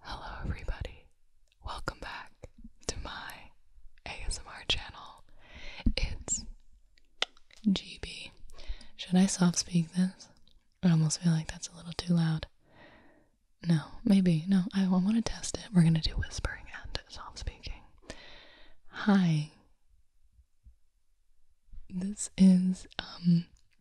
Hello, everybody. Welcome back to my ASMR channel. It's GB. Should I soft speak this? I almost feel like that's a little too loud. No, maybe. No, I want to test it. We're going to do whispering and soft speaking. Hi. This is, um,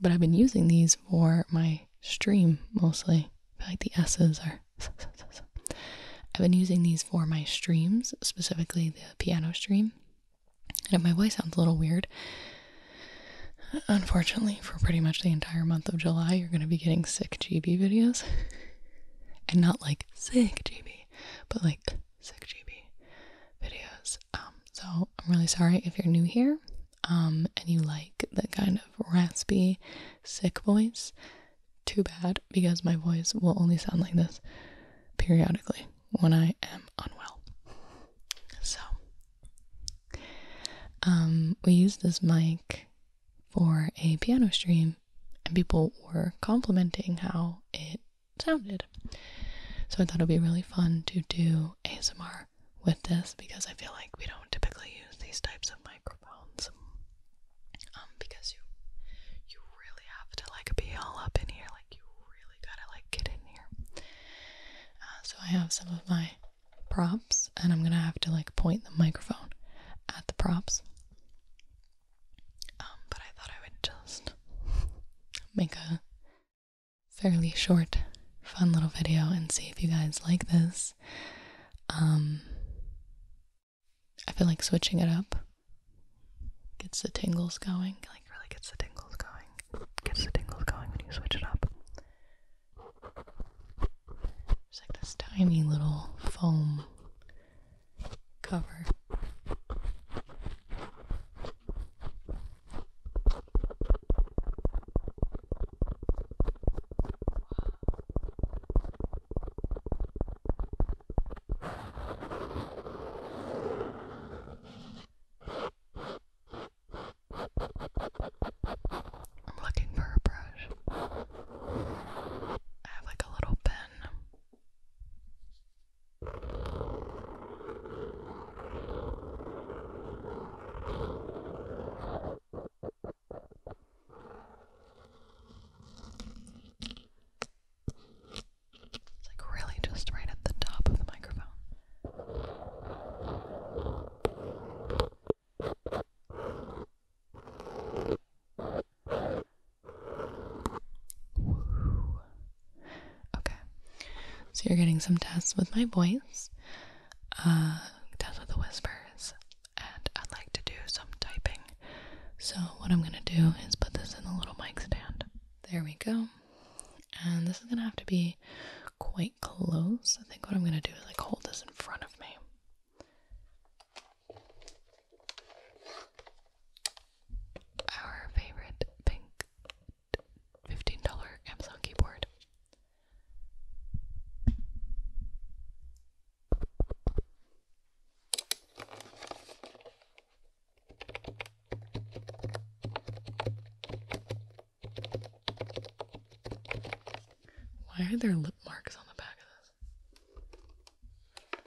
but I've been using these for my stream mostly. like the S's are. I've been using these for my streams, specifically the piano stream. And if my voice sounds a little weird, unfortunately, for pretty much the entire month of July, you're going to be getting sick GB videos. and not like sick GB, but like 6 GB videos. Um, so I'm really sorry if you're new here um, and you like the kind of raspy, sick voice. Too bad because my voice will only sound like this periodically when I am unwell. So, um, we used this mic for a piano stream, and people were complimenting how it sounded. So I thought it would be really fun to do ASMR with this because I feel like we don't typically use these types of microphones. Um, because you you really have to like be all up in here, like you really gotta like get in here. Uh, so I have some of my props, and I'm gonna have to like point the microphone at the props. Um, but I thought I would just make a fairly short, fun little video and see if you guys like this. Um, I feel like switching it up gets the tingles going, like really gets the tingles going, gets the tingles going when you switch it up. There's like this tiny little foam cover. I'm looking for a brush. I have like a little pen. It's like really just right at the top of the microphone. Woo. Okay. So you're getting some tests with my voice, uh, tests with the whispers, and I'd like to do some typing. So what I'm gonna do is put this in the little mic stand. There we go. And this is gonna have to be quite close. I think what I'm gonna do is like hold this in front of me. Our favorite pink $15 Amazon keyboard. Why are there lip marks on the back of this?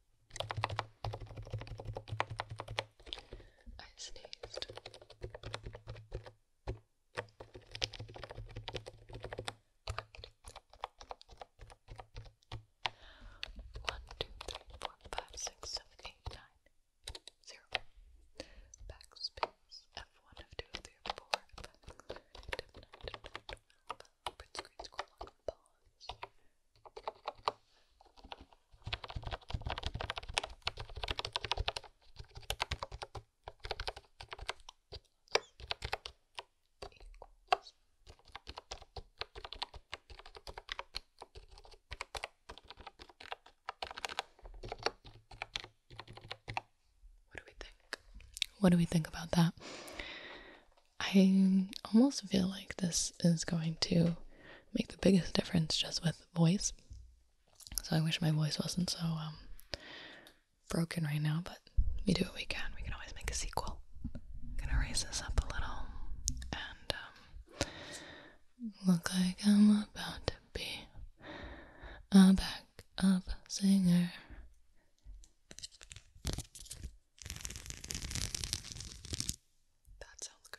I sneezed. One, two, three, four, five, six, seven, eight, nine, zero. Backspace. F one, F two, F screen, scroll lock, pause what do we think? What do we think about that? I almost feel like this is going to make the biggest difference just with voice. So I wish my voice wasn't so um, broken right now, but we do what we can. We can always make a sequel. I'm gonna raise this up a little and um, look like I'm about to be a backup singer. That sounds good.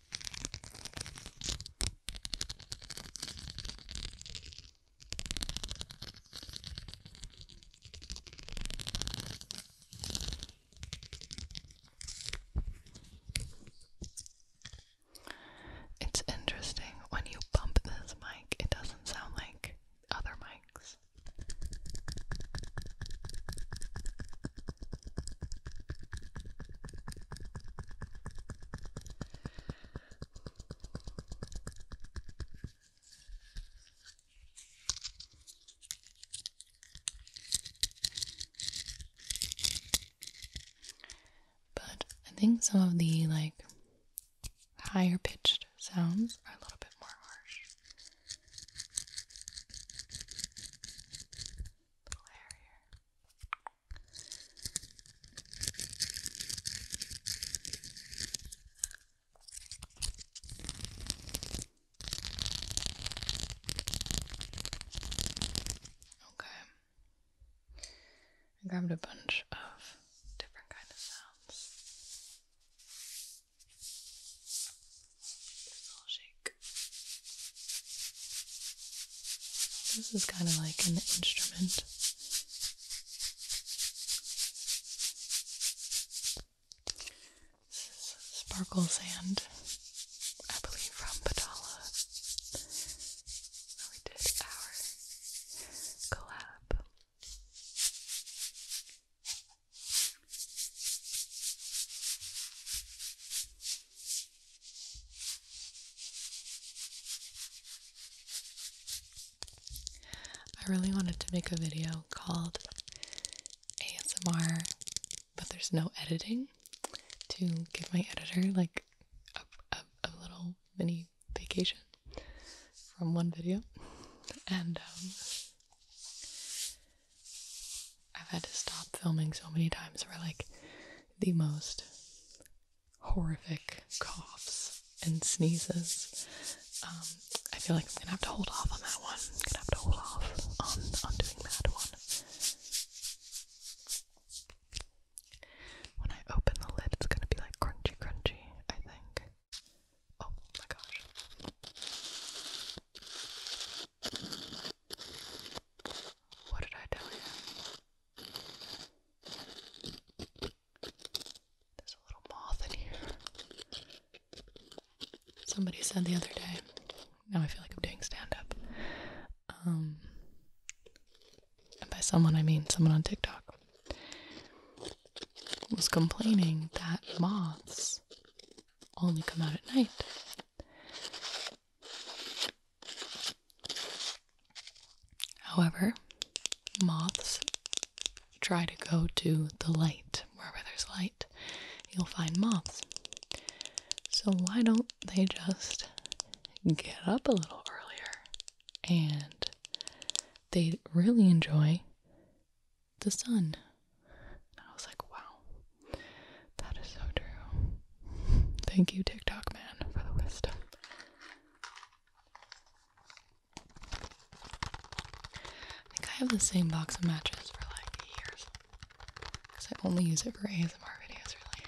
It's interesting when you bump this mic, it doesn't sound like other mics. But I think some of the like higher pitched sounds are a little bit more harsh. A Okay. I grabbed a bunch of different kind of sounds. little shake. This is kind of like an instrument. This is sparkle sand, I believe from Padala. We did our collab. I really wanted to make a video called ASMR, but there's no editing to give my editor like a, a, little mini vacation from one video. And um, I've had to stop filming so many times where like the most horrific coughs and sneezes. Um, I feel like I'm gonna have to hold off on that one. gonna have to hold off on, on doing that one. When I open the lid, it's gonna be like crunchy, crunchy, I think. Oh my gosh. What did I tell you? There's a little moth in here. Somebody said the other day, now I feel like I'm doing stand up. Um, and by someone, I mean someone on TikTok, was complaining that moths only come out at night. However, moths try to go to the light. Wherever there's light, you'll find moths. So, why don't they just get up a little earlier? And they really enjoy the sun. I was like, wow, that is so true. Thank you, TikTok man, for the wisdom. I think I have the same box of matches for like years. Because I only use it for ASMR videos, really.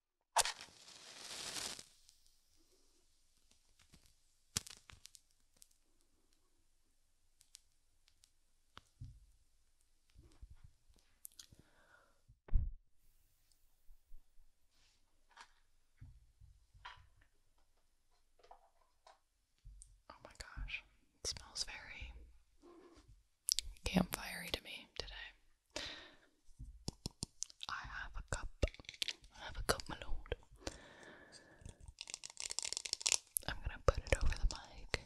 Oh my gosh, it smells very campfirey to me today. I have a cup. I have a cup, my lord. I'm gonna put it over the mic.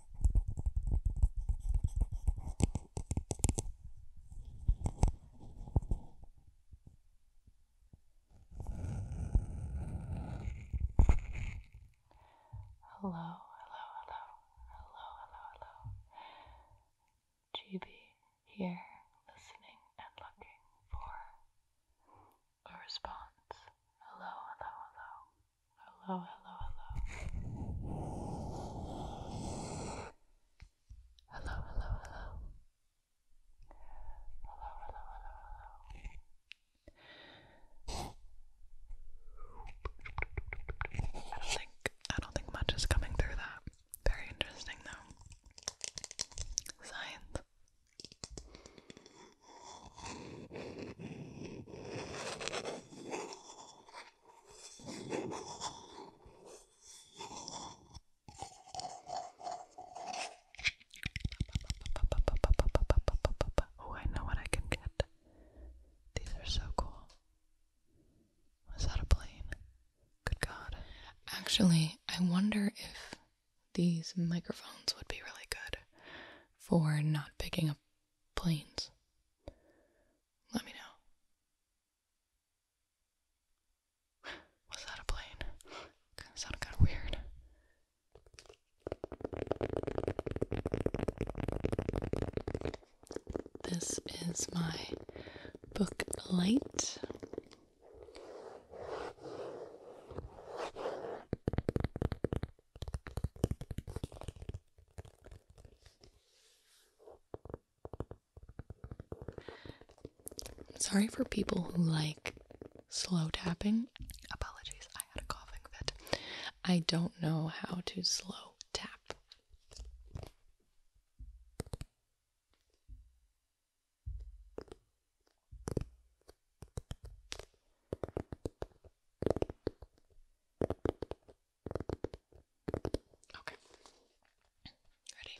Hello, hello, hello, hello, hello, hello. GB here, listening and looking for a response. Hello, hello, hello, hello, hello, hello. Hello, hello, hello. Hello, hello, I don't think I don't think much is coming through that. Very interesting though. Science. Oh, I know what I can get. These are so cool. Was that a plane? Good God. Actually, I wonder if these microphones would be really good for not picking up planes. Let me know. Was that a plane? Kind of sounded kind of weird. This is my book light sorry for people who like slow tapping. Apologies, I had a coughing fit. I don't know how to slow tap. Okay. Ready?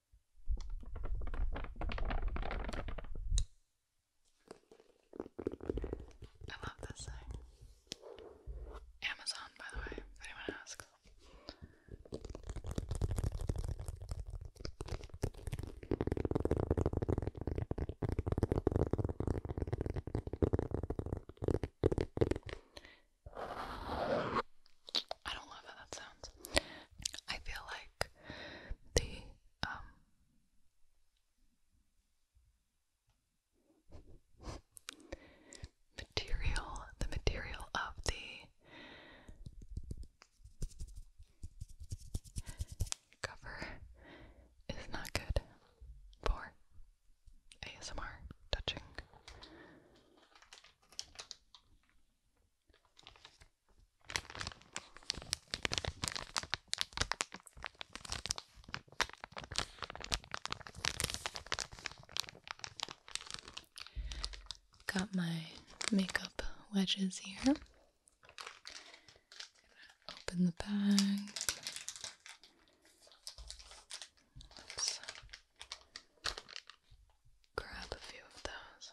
I love this thing. Amazon, by the way, anyone asks. I don't love how that sounds. I feel like the um, material the material of the cover is not good for ASMR touching. Got my makeup wedges here. Open the bag. grab a few of those.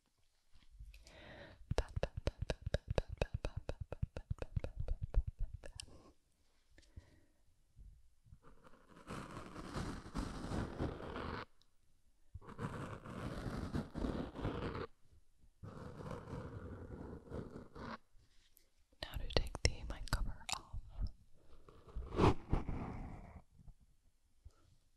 Now to take the mic cover off.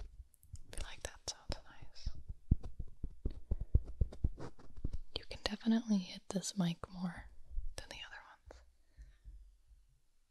feel like that sounds nice. You can definitely hit this mic more than the other ones.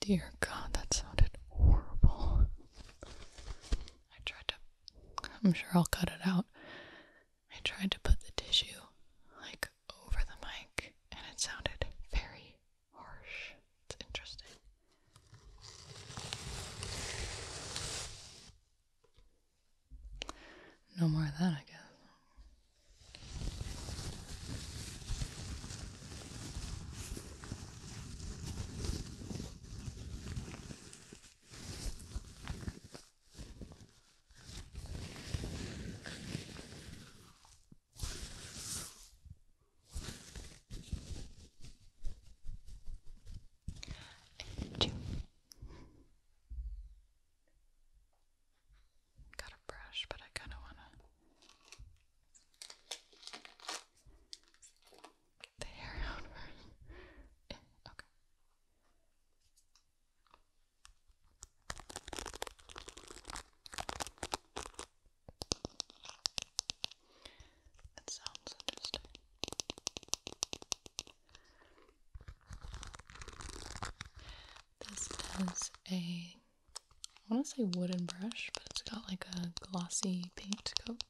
Dear God, that sounded horrible. I tried to, I'm sure I'll cut it out. I tried to put the tissue like over the mic and it sounded very harsh. It's interesting. No more of that, I guess. And two. Got a brush, but I kind of want to the hair out first. okay. That sounds interesting. This is a I want to say wooden brush, but it's got like a glossy paint coat.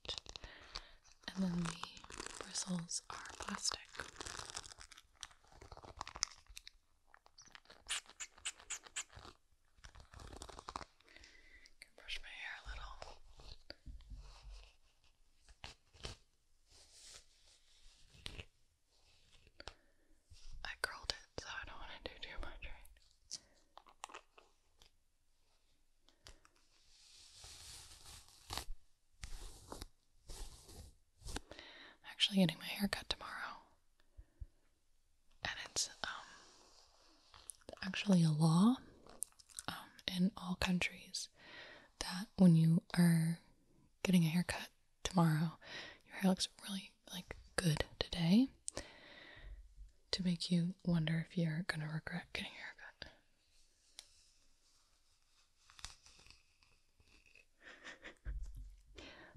And then the bristles are plastic. can brush my hair a little. I curled it, so I don't want to do too much, right? actually getting my hair cut tomorrow. And it's um, actually a law um, in all countries that when you are getting a haircut tomorrow, your hair looks really like good today to make you wonder if you're going to regret getting a haircut.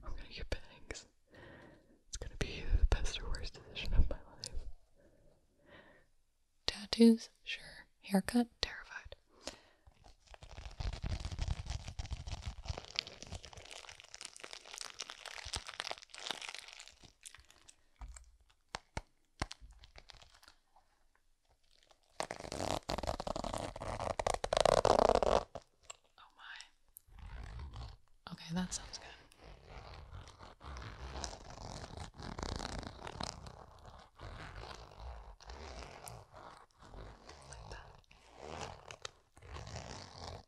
I'm going to get bangs. It's going to be the best or worst decision of my life. Tattoos? Sure. Haircut? Terrified. Oh my. Okay, that sounds good. Like that.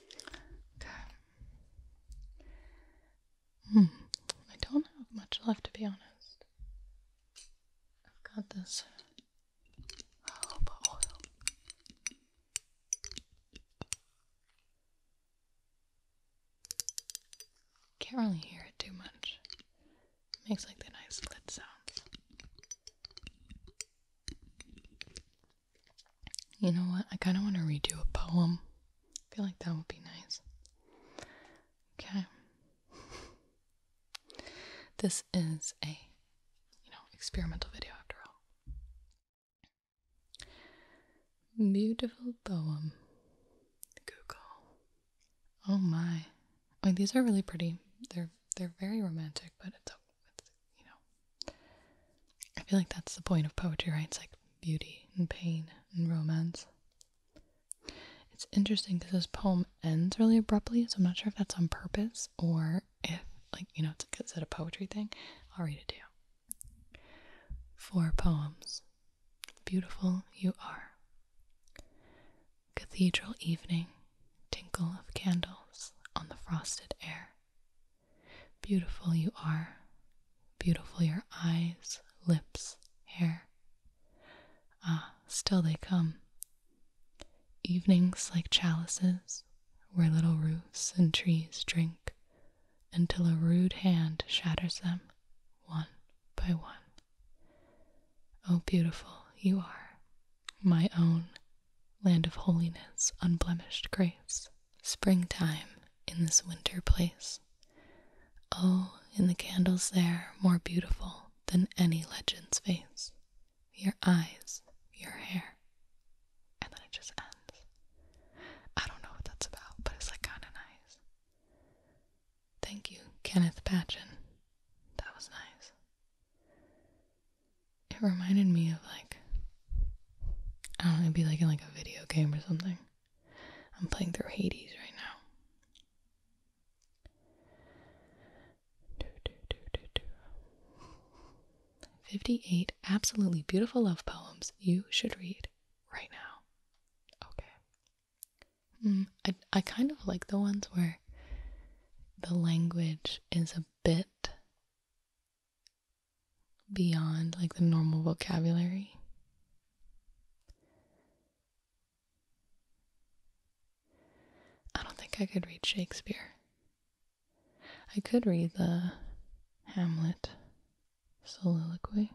Okay. Hmm. I don't have much left to be honest. I've got this jojoba Can't really hear it too much. It makes like the nice lid sounds. You know what? I kind of want to redo a poem. I feel like that would be nice. Okay. This is a, you know, experimental video after all. Beautiful poem. Google. Oh my. I mean, these are really pretty. They're they're very romantic, but it's, it's you know. I feel like that's the point of poetry, right? It's like beauty and pain and romance. It's interesting because this poem ends really abruptly, so I'm not sure if that's on purpose or if, like, you know, it's a is it a poetry thing? I'll read it to you. Four poems. Beautiful you are. Cathedral evening, tinkle of candles on the frosted air. Beautiful you are. Beautiful your eyes, lips, hair. Ah, still they come. Evenings like chalices, where little roofs and trees drink, until a rude hand shatters them, one by one. Oh, beautiful you are, my own land of holiness, unblemished grace springtime in this winter place. Oh, in the candles there, more beautiful than any legend's face, your eyes, your hair. And then it just ends. I don't know what that's about, but it's like kind of nice. Thank you, Kenneth Patchen. That was nice it reminded me of like I don't know, it'd be like in like a video game or something. I'm playing through Hades right now. 58 absolutely beautiful love poems you should read right now. Okay. Hmm, I, I kind of like the ones where the language is a bit beyond like the normal vocabulary. I don't think I could read Shakespeare. I could read the Hamlet soliloquy.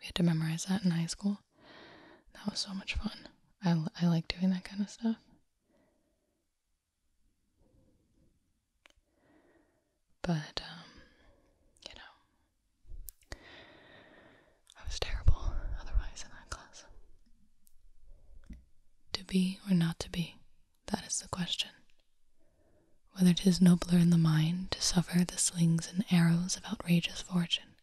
We had to memorize that in high school. That was so much fun. I, I like doing that kind of stuff. But, um, you know, I was terrible otherwise in that class. To be or not to be, that is the question. Whether tis nobler in the mind to suffer the slings and arrows of outrageous fortune,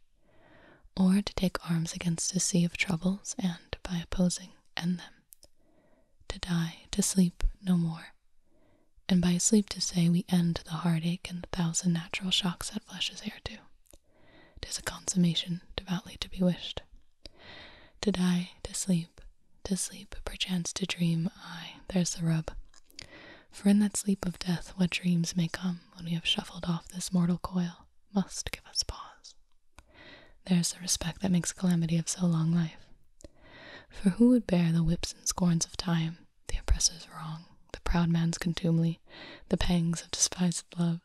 or to take arms against a sea of troubles and, by opposing, end them to die, to sleep no more. And by sleep to say we end the heartache and the thousand natural shocks that flesh is heir to, 'tis a consummation devoutly to be wished. To die, to sleep, to sleep, perchance to dream, ay there's the rub. For in that sleep of death, what dreams may come when we have shuffled off this mortal coil must give us pause. There's the respect that makes calamity of so long life. For who would bear the whips and scorns of time, the oppressor's wrong, the proud man's contumely, the pangs of despised love,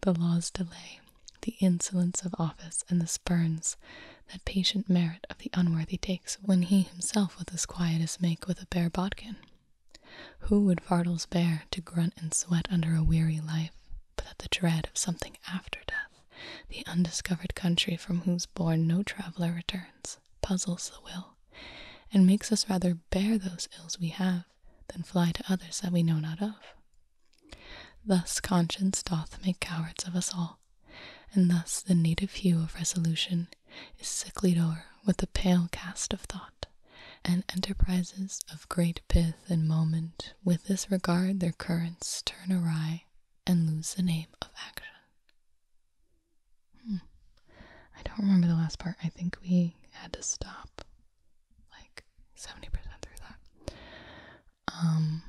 the law's delay, the insolence of office, and the spurns that patient merit of the unworthy takes when he himself with as quiet quietus make with a bare bodkin? Who would fardels bear to grunt and sweat under a weary life, but at the dread of something after death, the undiscovered country from whose bourne no traveller returns, puzzles the will, and makes us rather bear those ills we have than fly to others that we know not of. Thus conscience doth make cowards of us all, and thus the native hue of resolution is sicklied o'er with the pale cast of thought, and enterprises of great pith and moment, with this regard their currents turn awry, and lose the name of action. Hmm. I don't remember the last part. I think we had to stop like 70% through that. Um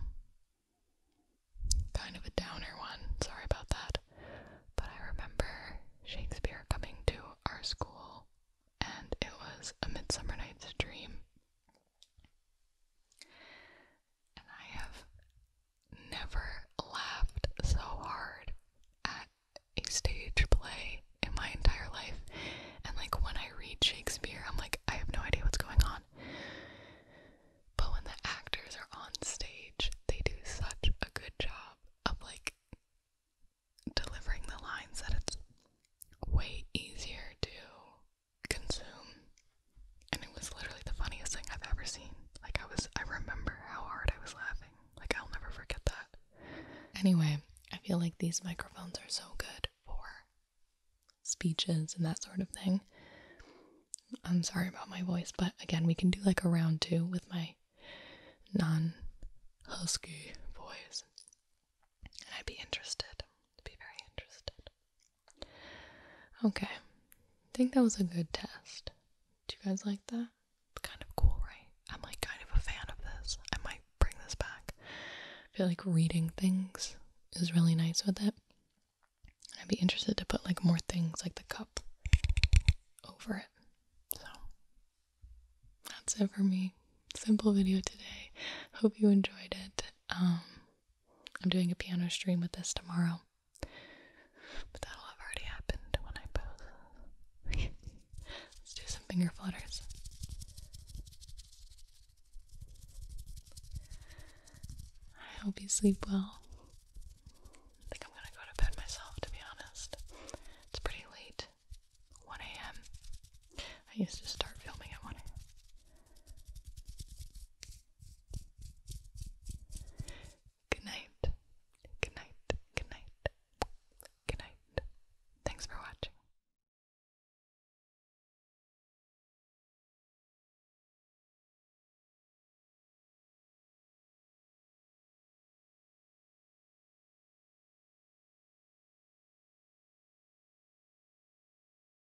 kind of a downer one. Sorry about that. But I remember Shakespeare coming to our school and it was A Midsummer Night's Dream and I have never laughed so hard at a stage play in my entire life. And like when I read Shakespeare, I'm like, I have no idea what's going on. But when the actors are on stage, they do such a good job of like delivering the lines that it's way easier to consume. And it was literally the funniest thing I've ever seen. Like, I was, I remember how hard I was laughing. Like, I'll never forget that. Anyway, I feel like these microphones are so good for speeches and that sort of thing. I'm sorry about my voice, but again, we can do like a round two with my non husky voice. And I'd be interested. i be very interested. Okay. I think that was a good test. Do you guys like that? It's kind of cool, right? I'm like kind of a fan of this. I might bring this back. I feel like reading things is really nice with it. I'd be interested to put like more things like the cup over it. So that's it for me. Simple video today. Hope you enjoyed it. Um, I'm doing a piano stream with this tomorrow. But that'll have already happened when I post. Let's do some finger flutters. I hope you sleep well. I think I'm gonna go to bed myself, to be honest. It's pretty late. 1 a.m. I used to start filming at 1 Good night. Good night. Good night. Good night. Thanks for watching.